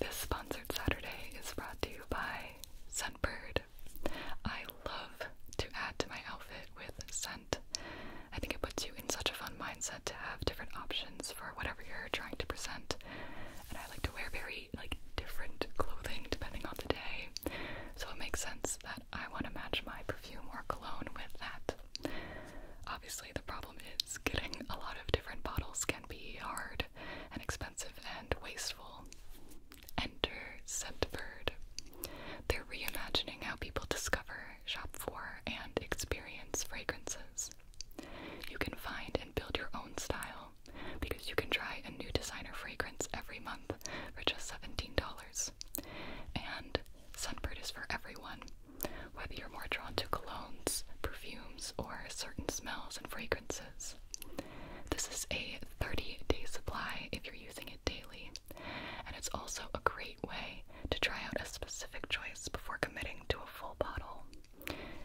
This sponsored Saturday is brought to you by Scentbird. I love to add to my outfit with scent. I think it puts you in such a fun mindset to have different options for whatever you're trying to present. And I like to wear very like different clothing depending on the day. So it makes sense that I want to match my perfume or cologne with that. Obviously, the problem is getting a lot of different bottles can be hard and expensive and wasteful. Enter Scentbird. They're reimagining how people discover, shop for, and experience fragrances. You can find and build your own style because you can try a new designer fragrance every month for just $17. And Sunbird is for everyone whether you're more drawn to colognes, perfumes, or certain smells and fragrances. This is a 30 day supply if you're using it daily, and it's also a great way to try out a specific choice before committing to a full bottle.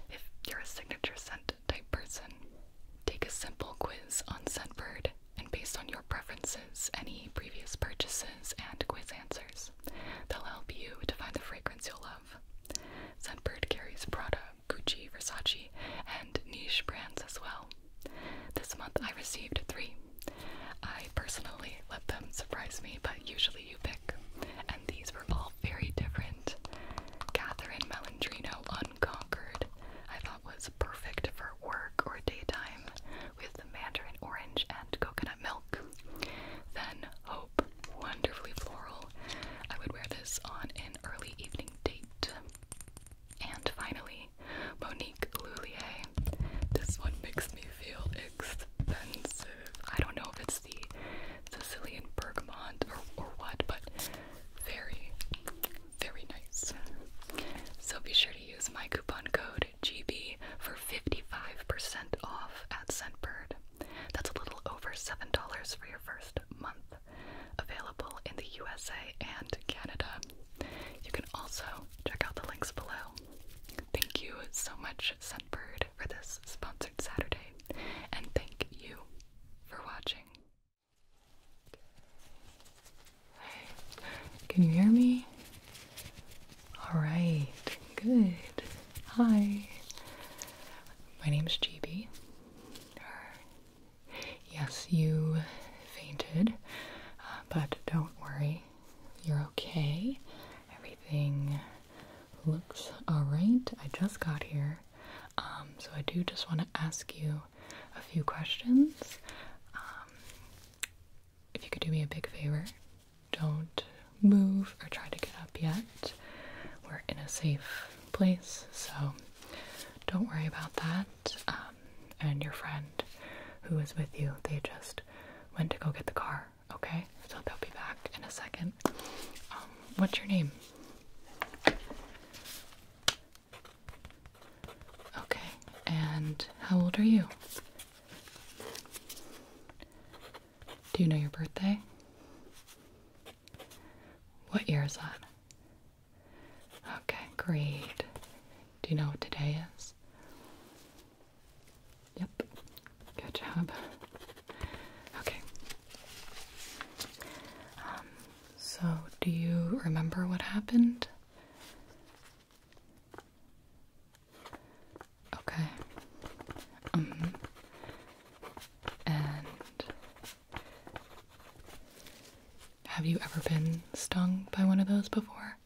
If you're a signature scent type person, take a simple quiz on Scentbird and based on your preferences, any previous purchases, and quiz answers. They'll help you to find the fragrance you'll love have. Scentbird carries Prada, Gucci, Versace, and niche brands as well. This month I received three. I personally let them surprise me, but usually you pick. And these were all very different. Catherine Melandrino Unconquered, I thought was perfect for work or daytime with mandarin orange and coconut milk. Then Hope wonderfully floral. I would wear this on an early evening date. And finally, Monique Lullier. This one makes me feel expensive. I don't know if it's the Sicilian bergamot or, or what, but very, very nice. So be sure to use my coupon code GB for 55% off at Scentbird. That's a little over $7 for your first month. Available in the USA and Canada. You can also check out the links below. Thank you so much, Sunbird, for this sponsored Saturday, and thank you for watching. can you hear me? All right, good. Hi, my name is GB. Yes, you fainted, uh, but don't worry, you're okay. Everything looks all right. I just got here, um, so I do just want to ask you a few questions. Um, if you could do me a big favor, don't move or try to get up yet. We're in a safe place, so don't worry about that. Um, and your friend who was with you, they just went to go get the car, okay? So they'll be back in a second. Um, what's your name? Okay, and how old are you? Do you know your birthday? What year is that? Okay, great. Do you know what today is? Yep. Good job. Okay. Um, so, do you remember what happened? Okay. Mm And have you ever been stung by one of those before?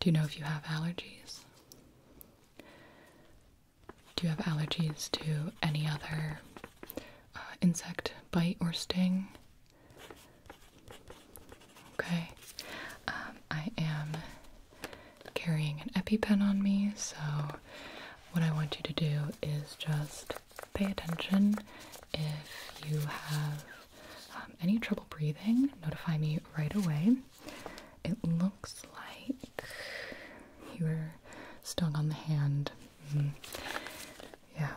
Do you know if you have allergies? Do you have allergies to any other uh, insect bite or sting? Okay. Um, I am carrying an EpiPen on me, so what I want you to do is just pay attention. If you have um, any trouble breathing, notify me right away. It looks like you were stung on the hand. Mm. Yeah,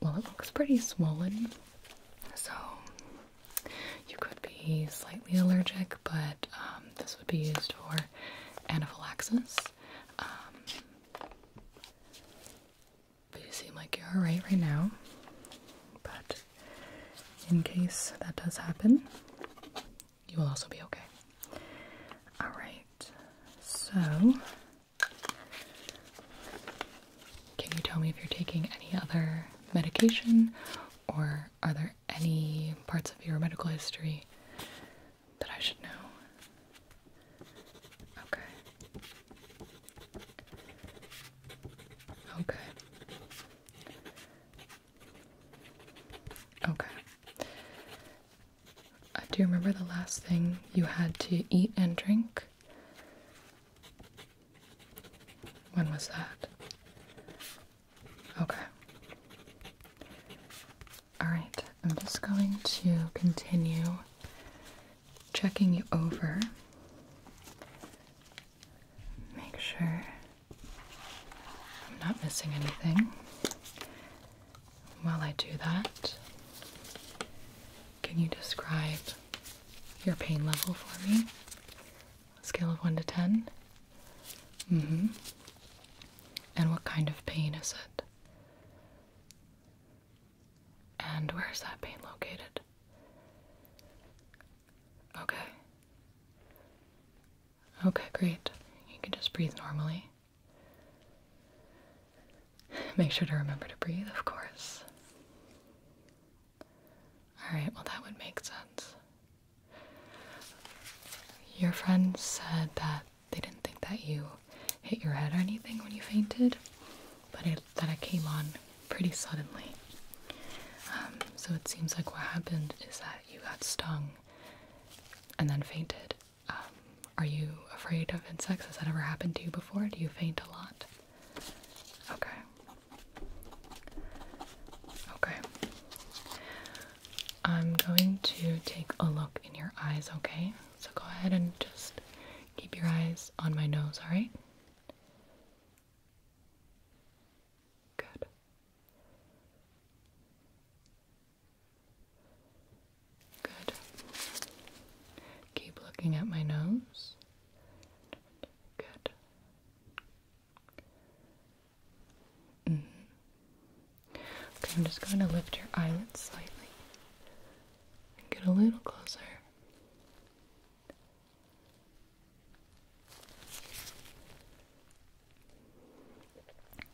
well, it looks pretty swollen, so you could be slightly allergic, but um, this would be used for anaphylaxis. Um, but you seem like you're alright right now. But in case that does happen, you will also be okay. Alright, so can you tell me if you're taking any other medication or are there any parts of your medical history that I should know? Okay. Okay. Okay. Uh, do you remember the last thing you had to eat and drink? When was that? Okay. Alright, I'm just going to continue checking you over. Make sure I'm not missing anything. While I do that, can you describe your pain level for me? Scale of 1 to 10? Mm hmm. And what kind of pain is it? And where is that pain located? Okay. Okay, great. You can just breathe normally. Make sure to remember to breathe, of course. Alright, well, that would make sense. Your friend said that they didn't think that you hit your head or anything when you fainted, but that it came on pretty suddenly. Um, so it seems like what happened is that you got stung and then fainted. Um, are you afraid of insects? Has that ever happened to you before? Do you faint a lot? Okay. Okay. I'm going to take a look in your eyes, okay? So go ahead and just keep your eyes on my nose, alright? Good. Good. Keep looking at my nose. Good. Mm-hmm. Okay, I'm just going to lift your eyelids slightly and get a little closer.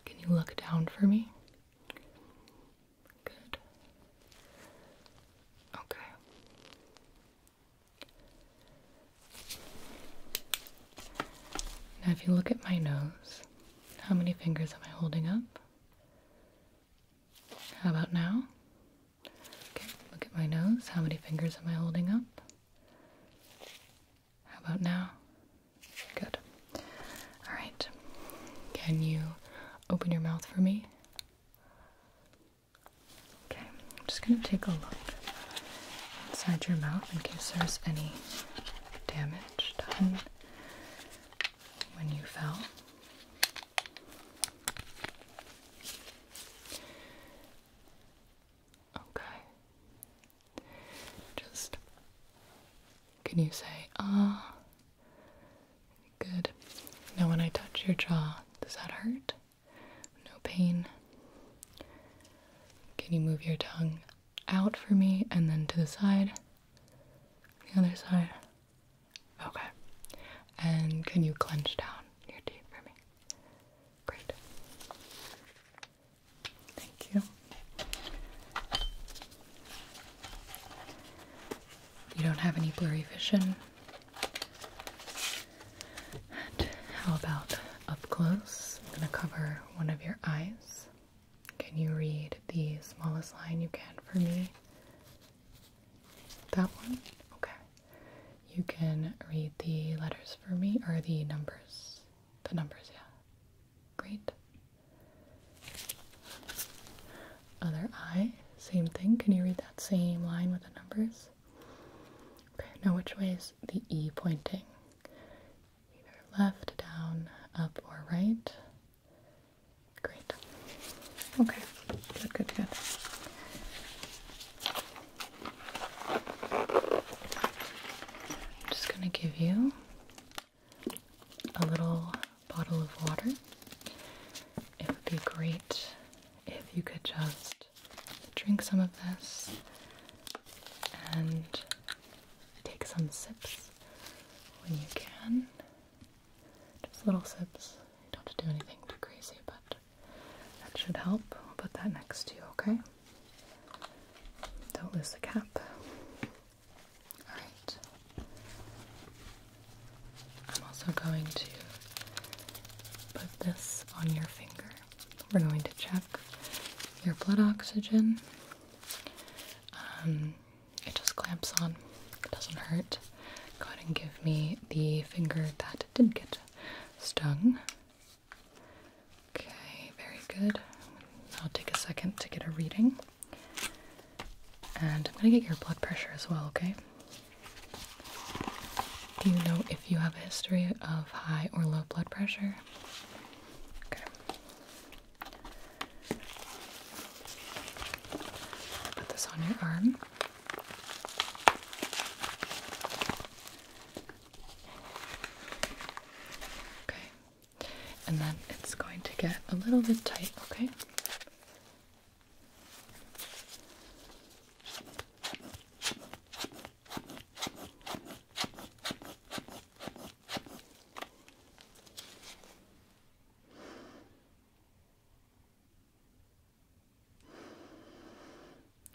Can you look down for me? Good. Okay. Now, if you look at my nose, how many fingers am I holding up? How about now? Okay, look at my nose. How many fingers am I holding up? How about now? Good. All right. Can you open your mouth for me? Okay, I'm just going to take a look inside your mouth in case there's any damage done when you fell. Okay. Just can you say ah? Good. Now when I touch your jaw, does that hurt? no pain. Can you move your tongue out for me and then to the side? The other side. Okay. And can you clench down your teeth for me? Great. Thank you. You don't have any blurry vision how about up close? I'm going to cover one of your eyes. Can you read the smallest line you can for me? That one? Okay. You can read the letters for me, or the numbers. The numbers, yeah. Great. Other eye, same thing. Can you read that same line with the numbers? Okay, now which way is the E pointing? Either left, down, up, or right? Great. Okay, good, good, good. I'm just going to give you a little bottle of water. It would be great if you could just drink some of this and take some sips when you can. Just little sips. You don't have to do anything too crazy, but that should help. I'll put that next to you, okay? Don't lose the cap. Alright. I'm also going to put this on your finger. We're going to check your blood oxygen. Um, it just clamps on, it doesn't hurt. Go ahead and give me the finger that did get stung. Okay, very good. I'll take a second to get a reading. And I'm gonna get your blood pressure as well, okay? Do you know if you have a history of high or low blood pressure? Okay. Put this on your arm. Okay. And then it's going to get a little bit tight, okay?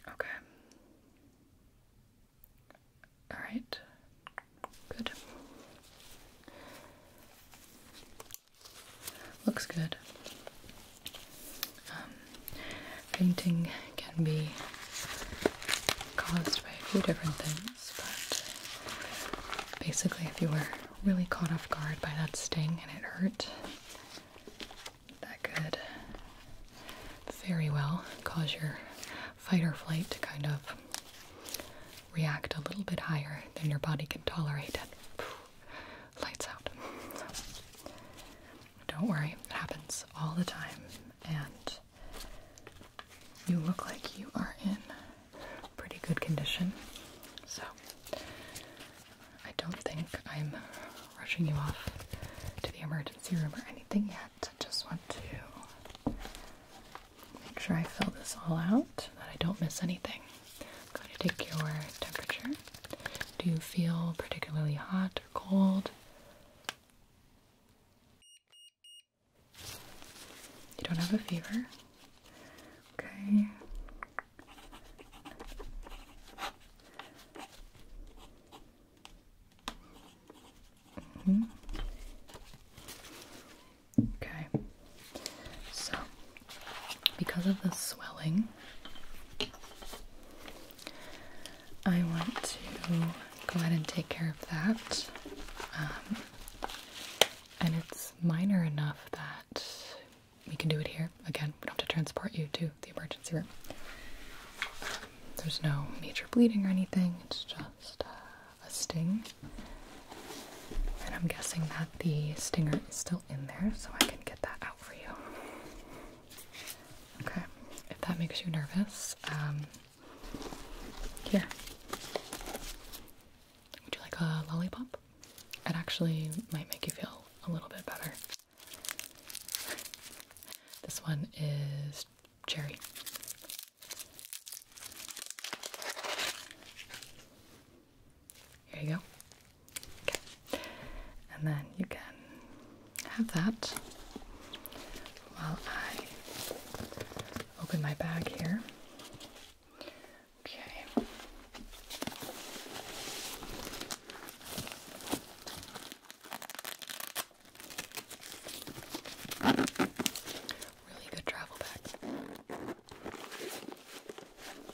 Okay. All right. Good looks good. Um, painting can be caused by a few different things, but basically, if you were really caught off guard by that sting and it hurt, that could very well cause your fight or flight to kind of react a little bit higher than your body can tolerate lights out. don't worry, it happens all the time, and you look like you are in pretty good condition. So, I don't think I'm rushing you off to the emergency room or anything yet. I just want to make sure I fill this all out, that I don't miss anything i to take your temperature. Do you feel particularly hot or cold? You don't have a fever? Okay. -hmm. Okay. So, because of the swelling, I want to go ahead and take care of that. Um, and it's minor enough that we can do it here. Again, we don't have to transport you to the emergency room. There's no major bleeding or anything, it's just uh, a sting. And I'm guessing that the stinger is still in there, so I can get that out for you. Okay, if that makes you nervous, um, here. Would you like a lollipop? It actually might make you feel a little bit better. This one is cherry. Here you go. Okay. And then you can have that while I open my bag here. Okay. Really good travel bag. All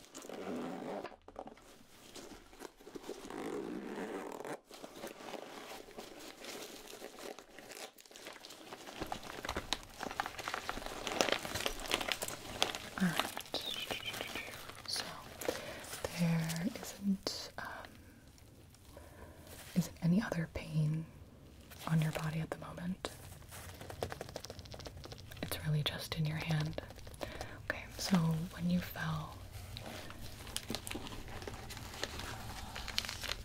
right. So there isn't um, isn't any other pain on your body at the moment. It's really just in your hand. Okay, so when you fell,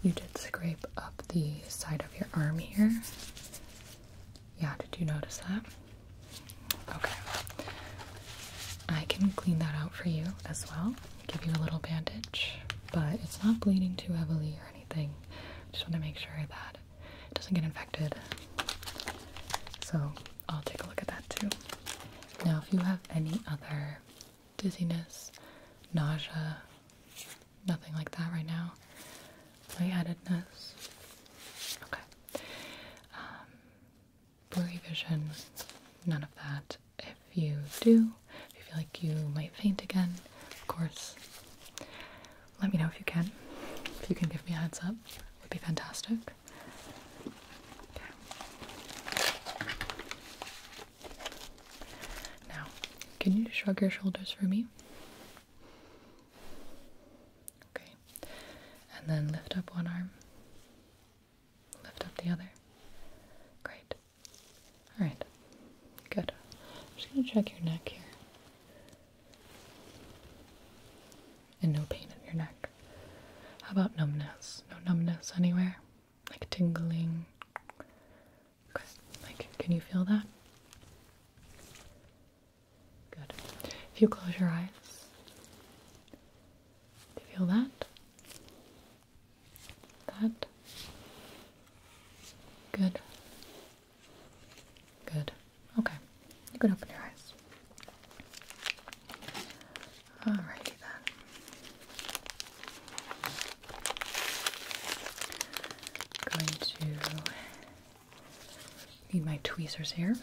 you did scrape up the side of your arm here. Yeah, did you notice that? Okay. I can clean that out for you as well. Give you a little bandage, but it's not bleeding too heavily or anything. Just want to make sure that it doesn't get infected. So I'll take a look at that too. Now, if you have any other dizziness, nausea, nothing like that right now, lightheadedness, okay, um, blurry vision, none of that. If you do, if you feel like you might faint again, of course, let me know if you can. If you can give me a heads up, it would be fantastic. Now, can you shrug your shoulders for me? Okay. And then lift up one arm. Lift up the other. Great. Alright. Good. I'm just gonna check your neck here. And no pain in your neck. How about numbness? No numbness anywhere? Like tingling? like, can you feel that? Good. If you close your eyes, do you feel that? That? Good. Good. Okay. You can open your eyes. Alrighty then. I'm going to need my tweezers here.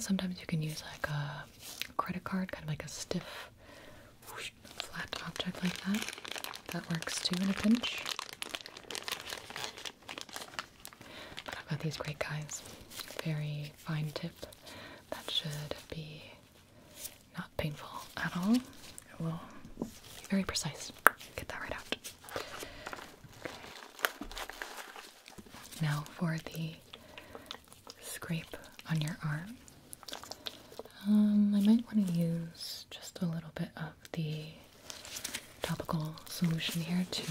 sometimes you can use like a credit card, kind of like a stiff flat object like that. That works too in a pinch. But I've got these great guys. Very fine tip. That should be not painful at all. It will be very precise. Get that right out. Now for the scrape on your arm. Um, I might want to use just a little bit of the topical solution here to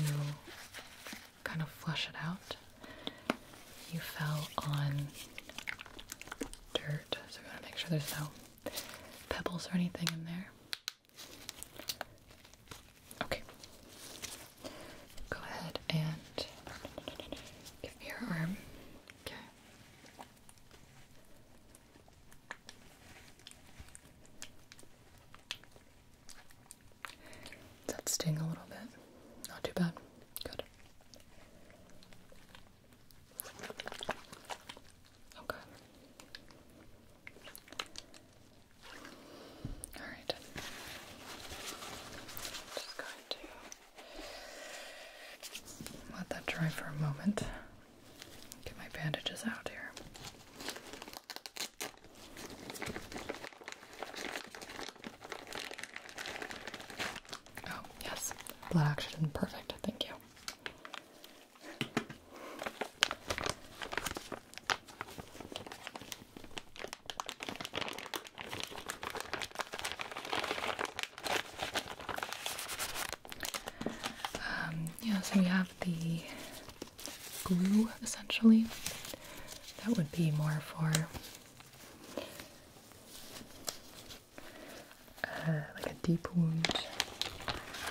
kind of flush it out. You fell on dirt, so we want to make sure there's no pebbles or anything in there. Okay. Go ahead and give me your arm. Okay. That's sting a little bit. Not too bad. Good. Okay. All right. Just going to let that dry for a moment. Get my bandages out here. Oh, yes. Blood oxygen. Perfect. Thank you. Um, yeah, so we have the glue essentially. That would be more for uh, like a deep wound.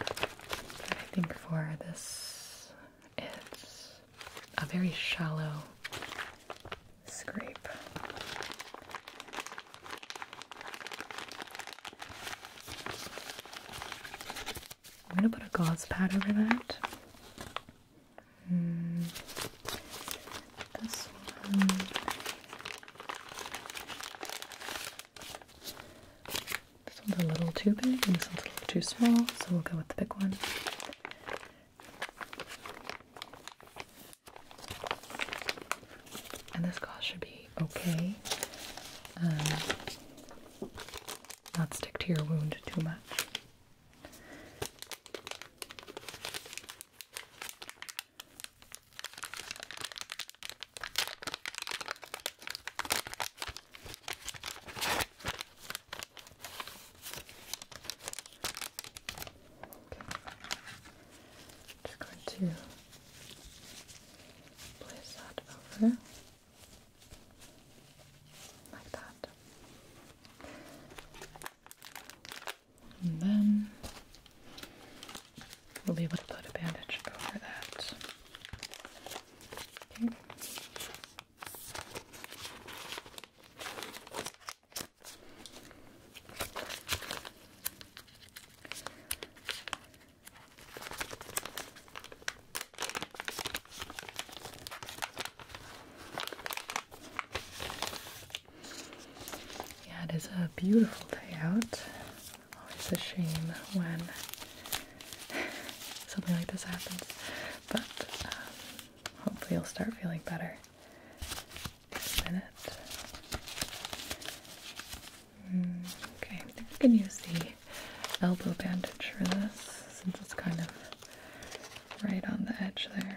But I think for this, it's a very shallow scrape. I'm gonna put a gauze pad over that. Hmm. this one. This one's a little too big, and this one's a little too small, so we'll go with the big one. And this gauze should be okay. Um, not stick to your wound too much. Just going to place that over like that. And then we'll be able to put a bandage over that. Okay. Yeah, it is a beautiful day out. Always a shame when something like this happens, but um, hopefully you'll start feeling better okay, I think I can use the elbow bandage for this since it's kind of right on the edge there.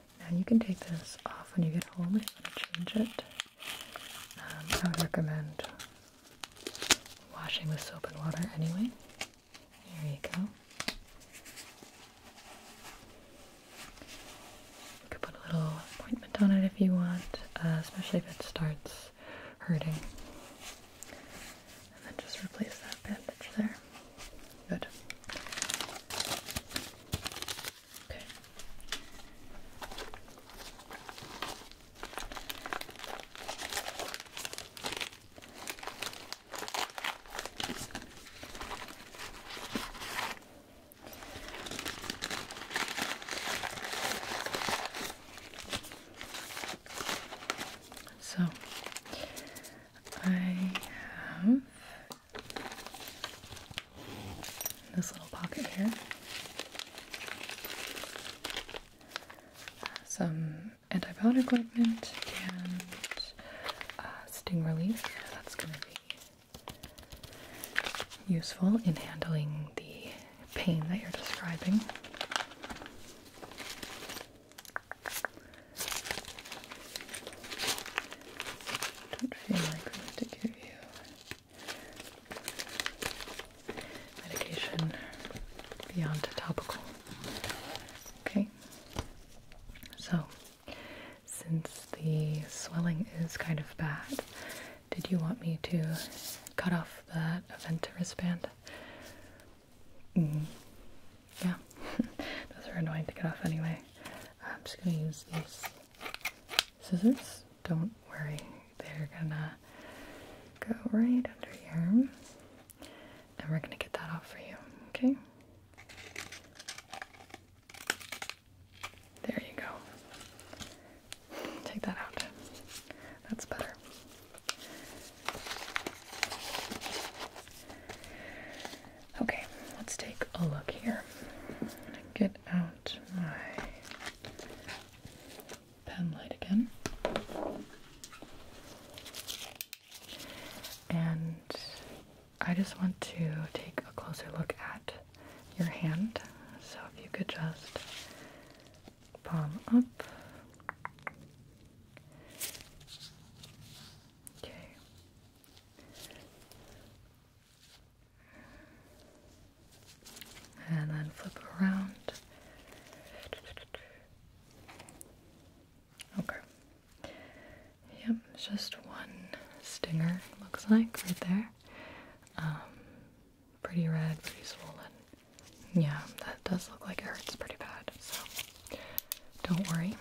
And you can take this off when you get home if you want to change it. Um, I would recommend washing with soap and water anyway. There you go. You could put a little ointment on it if you want, uh, especially if it starts hurting. And then just replace that bandage there. Good. Okay. So I have this little pocket here. Some antibiotic ointment and uh, sting relief. That's going to be useful in handling the pain that you're describing don't feel like I want to give you medication beyond topical. Okay, so since the swelling is kind of bad, did you want me to cut off that event wristband? Mm. Yeah, those are annoying to get off anyway. I'm just going to use these scissors. Don't worry, they're going to go right under here. And we're going to get that off for you, okay? There you go. Take that out. That's better. Okay, let's take a look here. Get out my pen light again. And I just want to take a closer look at your hand. So if you could just palm up. Okay and then flip around. Okay. Yep, just one stinger, looks like, right there. Um, pretty red, pretty swollen. Yeah, that does look like it hurts pretty bad, so don't worry.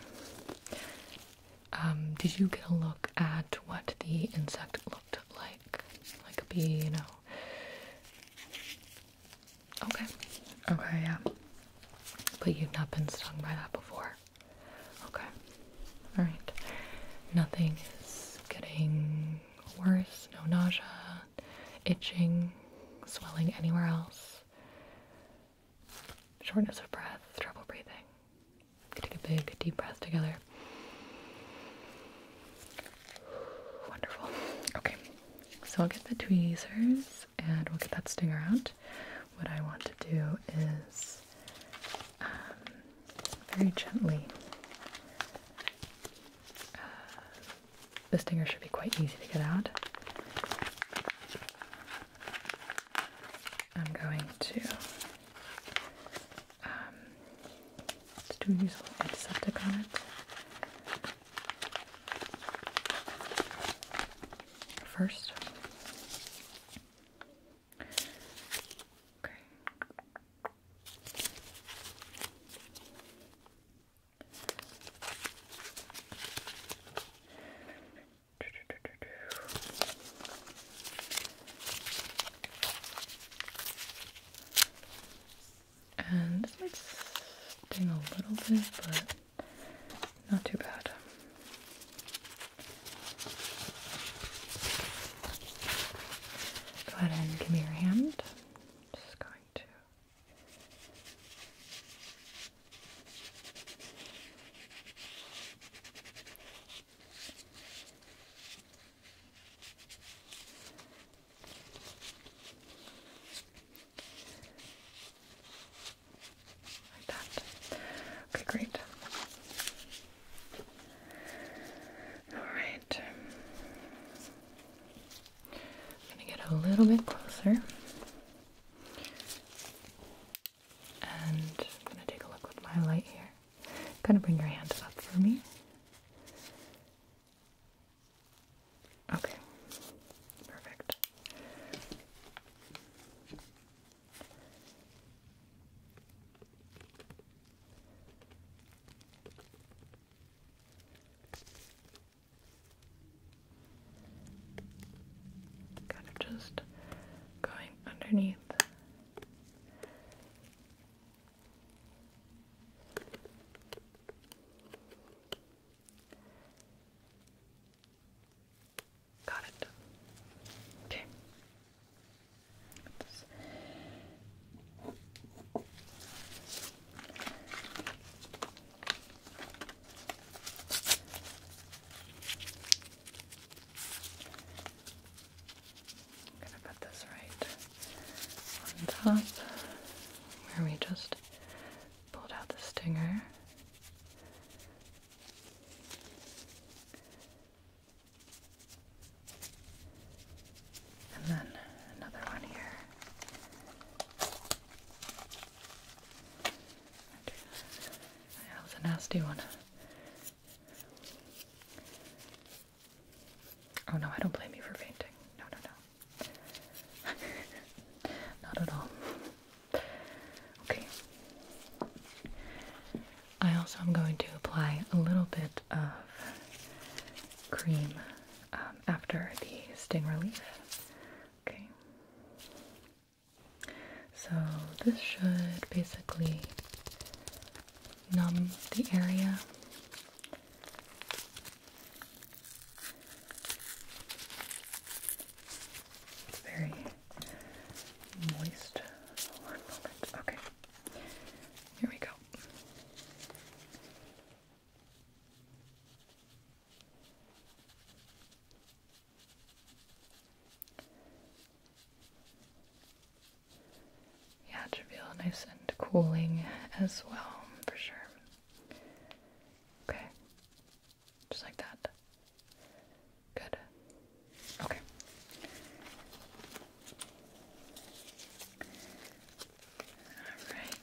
Um, did you get a look at what the insect looked like? Like a bee, you know? Okay. Okay, yeah. But you've not been stung by that before. Okay. Alright. Nothing is getting worse. No nausea, itching, swelling anywhere else shortness of breath, trouble breathing. Take a big deep breath together. Wonderful. Okay, so I'll get the tweezers and we'll get that stinger out. What I want to do is um, very gently. Uh, the stinger should be quite easy to get out. I'm going to um, do a little antiseptic on it first. Okay. And this might sting a little bit, but not too bad. Go ahead and give me your hand. just going to Okay, great. All right. I'm going to get a little bit closer. And I'm going to take a look with my light here. I'm going to bring your hand up for me. Okay, perfect. Kind of just going underneath. Got it. Okay. I'm gonna put this right on top where we just pulled out the stinger. And then another one here. That was a nasty one. Oh no, I don't blame you for fainting. No, no, no. Not at all. Okay. I also am going to apply a little bit of cream um, after the sting relief. Okay. So this should basically numb the area. It's very moist. Okay. Here we go. Yeah, should feel nice and cooling as well, for sure. Okay. Just like that. Good. Okay. Alright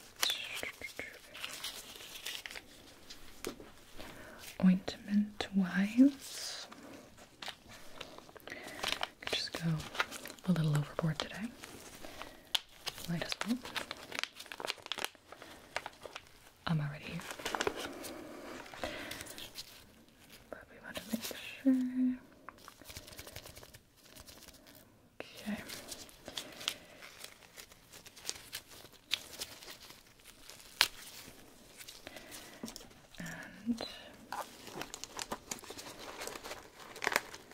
ointment wise. just go a little overboard today. Might as well. I'm already here. But we want to make sure. Okay and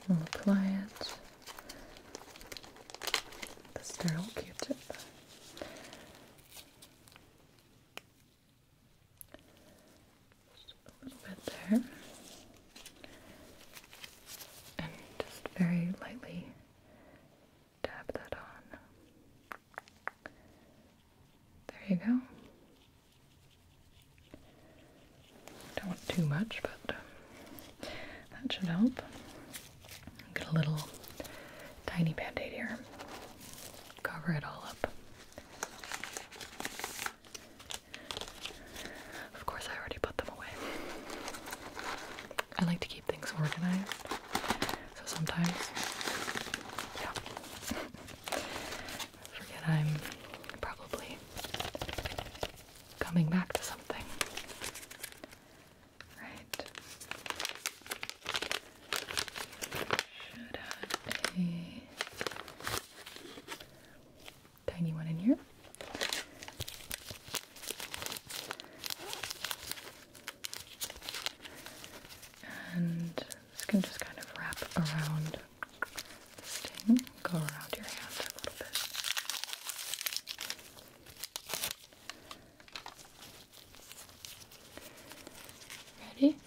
we'll apply it with the sterile Q-tip. Just a little bit there, and just very lightly dab that on. There you go. Don't want too much, but um, that should help. Get a little tiny band here. Cover it all up. Of course, I already put them away. I like to keep keep things organized. So sometimes, yeah, I forget I'm probably coming back to something. Right. Should have a tiny one in here. And this can just kind of wrap around the sting, go around your hand a little bit. Ready?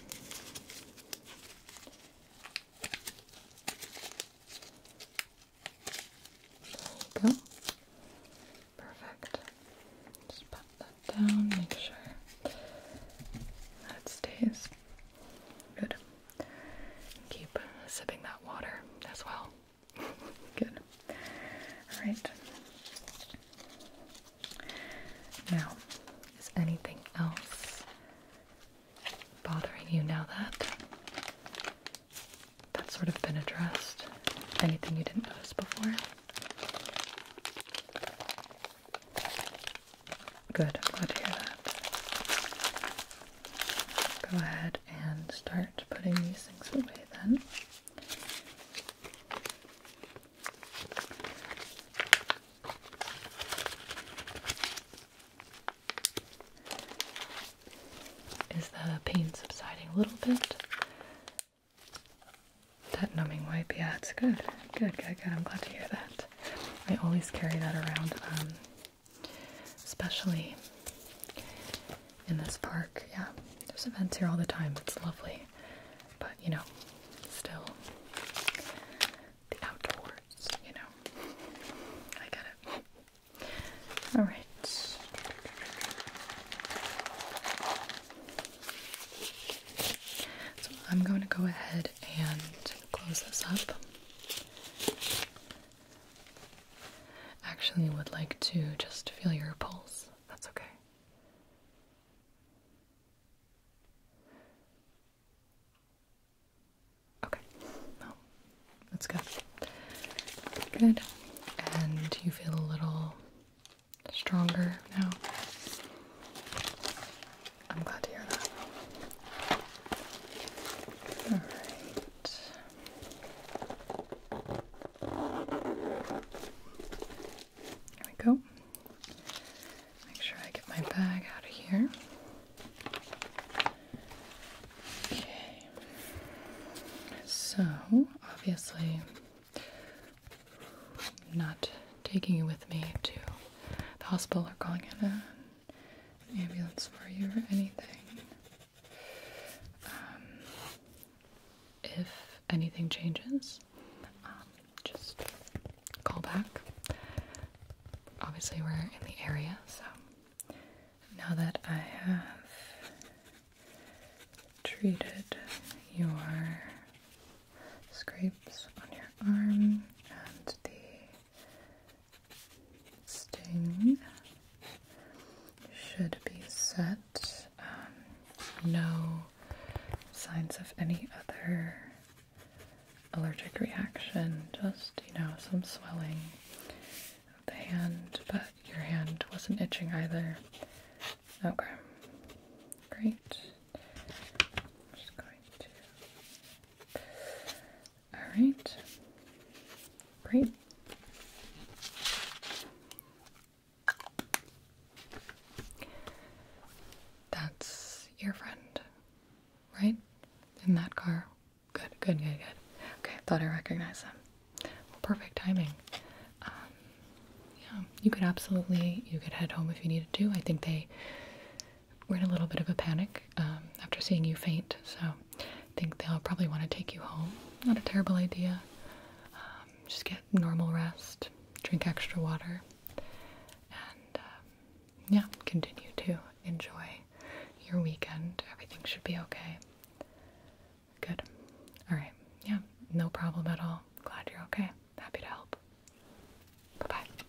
go. Perfect. Just pop that down, make sure that stays. Good. Keep sipping that water as well. Good. Alright. Now, is anything else bothering you now that that's sort of been addressed. Anything you didn't notice before? Good, I'm glad to hear that. Go ahead and start putting these things away then is the pain subsiding a little bit? That numbing wipe, yeah, it's good. Good, good, good. I'm glad to hear that. I always carry that around, um, especially in this park. Yeah, there's events here all the time. It's lovely. But, you know, still the outdoors, you know. I get it. All right. So I'm going to go ahead and close this up. Actually, would like to just feel your pulse. That's okay. Okay. Well, that's good. Good. And you feel a little stronger now. I'm glad to hear that. All right. There we go. Make sure I get my bag out of here. Okay. So, obviously, I'm not taking you with me to the hospital or calling an ambulance for you or anything. Um, if anything changes, um, just call back. Obviously, we're in the area, so now that I have treated your scrapes on your arm and the sting should be set. Um, no signs of any other allergic reaction, just, you know, some swelling of the hand, but your hand wasn't itching either. Okay. Great. Alright. Great. That's your friend, right? In that car Good, good, good, good. Okay, I thought I recognized them. perfect timing. Um, yeah, you could absolutely you could head home if you needed to. I think they were in a little bit of a panic um, after seeing you faint, so I think they'll probably want to take you home. Not a terrible idea. Um, just get normal rest, drink extra water, and yeah, continue to enjoy your weekend. Everything should be okay. Good. All right. Yeah, no problem at all. Glad you're okay. Happy to help. Bye bye.